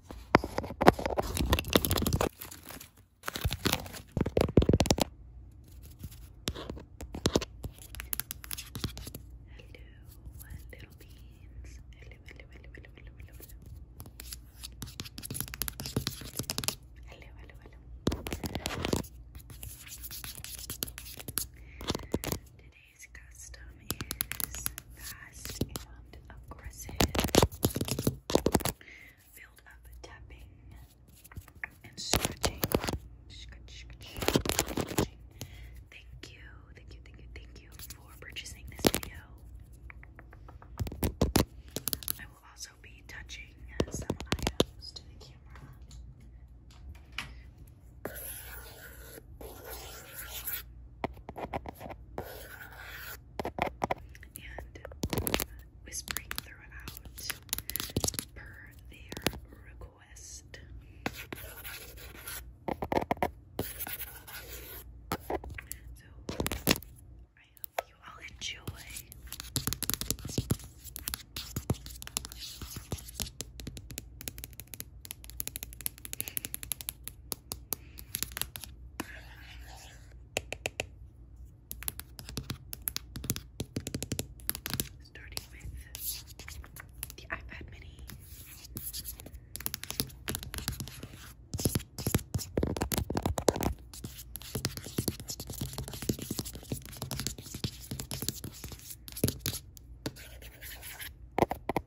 little beans. Hello, hello, hello, hello, hello, hello, hello. Hello, hello, hello. Today Today's custom is fast and aggressive. Build up tapping and stretching. Thank you, thank you, thank you, thank you for purchasing this video. I will also be touching some items to the camera and whispering throughout per their request. So I hope you all enjoy. Starting with the iPad mini.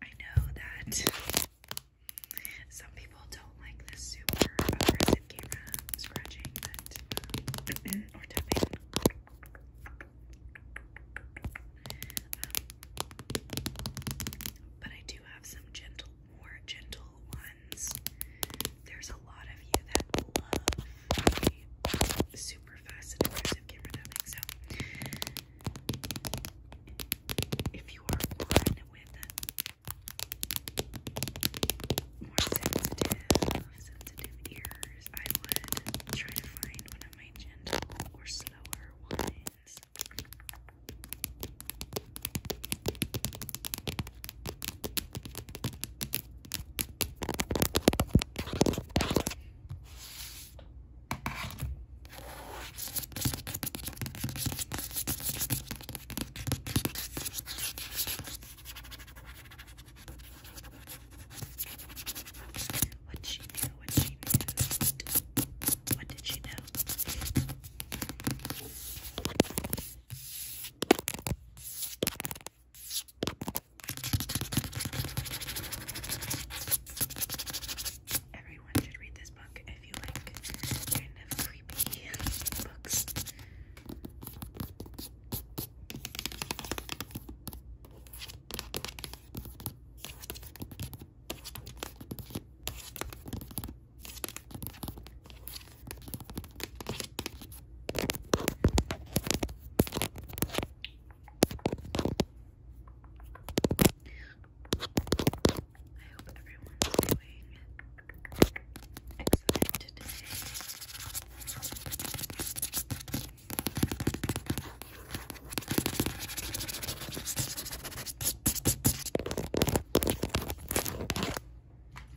I know that some people don't like this super aggressive camera scratching but, um, or tapping. Um, but I do have some gentle, more gentle there's a lot of you that love super fast and aggressive camera tapping. So, if you are one with more sensitive, sensitive ears, I would try to find one of my gentle or slower ones. What she knew, what she knew. What did she know? Everyone should read this book if you like kind of creepy books. I hope everyone's doing excellent today.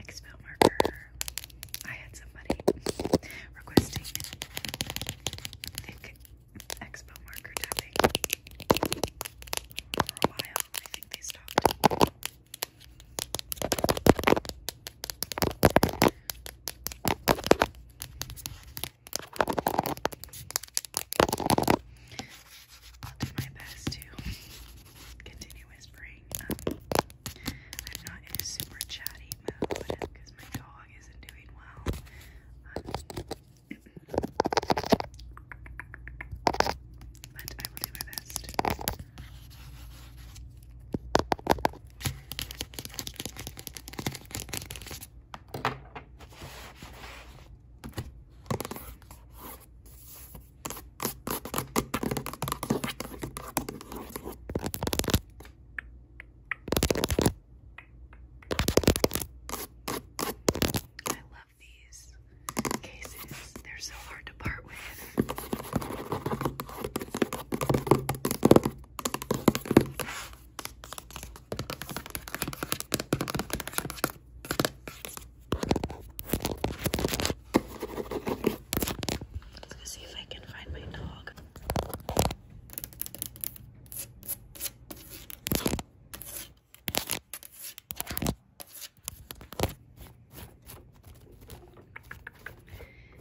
Expo marker. I had somebody requesting thick expo marker tapping for a while. I think they stopped. I'll do my best to continue whispering. Um, I'm not in a super chatty mood because my dog isn't doing well. Um, but I will do my best. I love these cases. They're so hard to part with. Let's see if I can find my dog.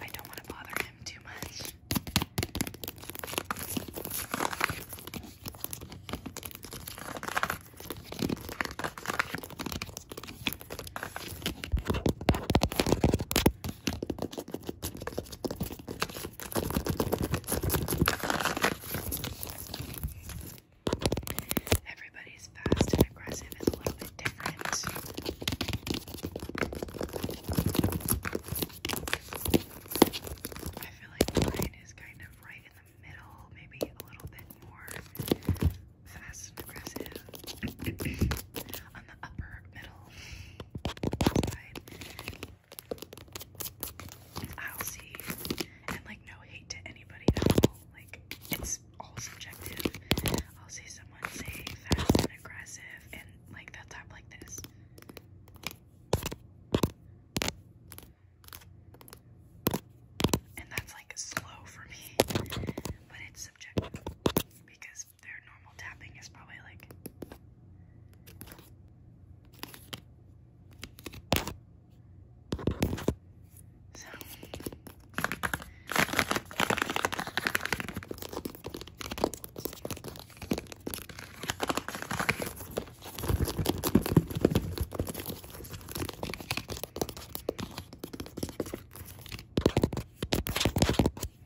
I don't want to bother him too much. Everybody's fast and aggressive is a little bit different. I feel like mine is kind of right in the middle, maybe a little bit more fast and aggressive on the upper middle. I'll see. And like no hate to anybody at all. Like it's all subjective. I'll see someone say fast and aggressive and like they'll like this. And that's like slow for me. But it's subjective because their normal tapping is probably like.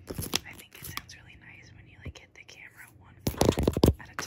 I think it sounds really nice when you like hit the camera one at a time.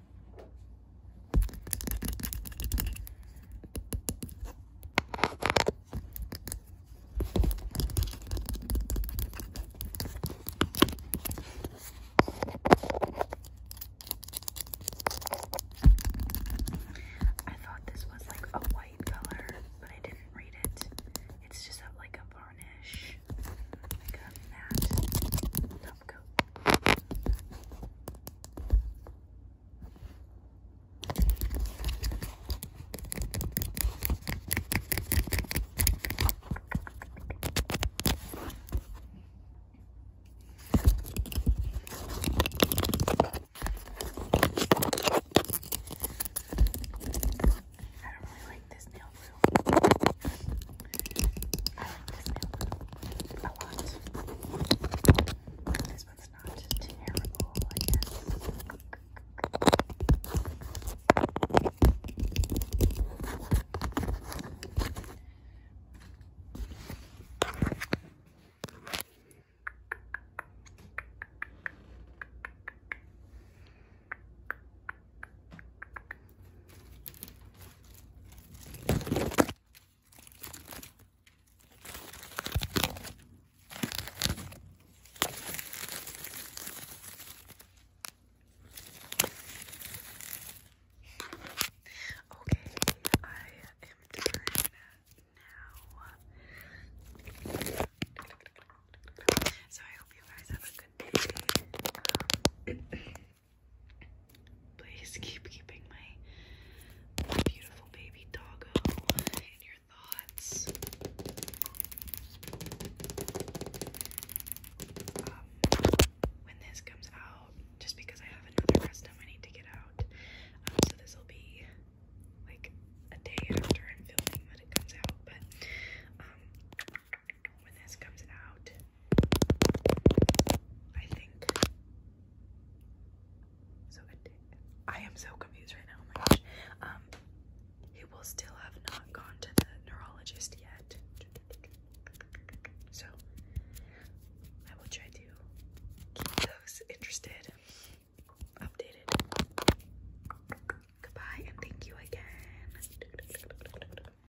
I thought this was like a white color, but I didn't read it. It's just like a varnish, like a matte, Let's I don't really like this nail glue. I like this milk a lot. This one's not terrible, I guess. Okay, I am doing that now. So I hope you guys have a good day. Um, Please keep keeping my, my beautiful baby doggo in your thoughts. Um, when this comes out, just because I have another custom I need to get out, um, so this will be like a day after I'm filming when it comes out, but um, when this comes out. I think. So I am so confused right now. Oh my gosh. Um, he will still have not gone to the neurologist yet. So I will try to keep those interested, updated. Goodbye and thank you again.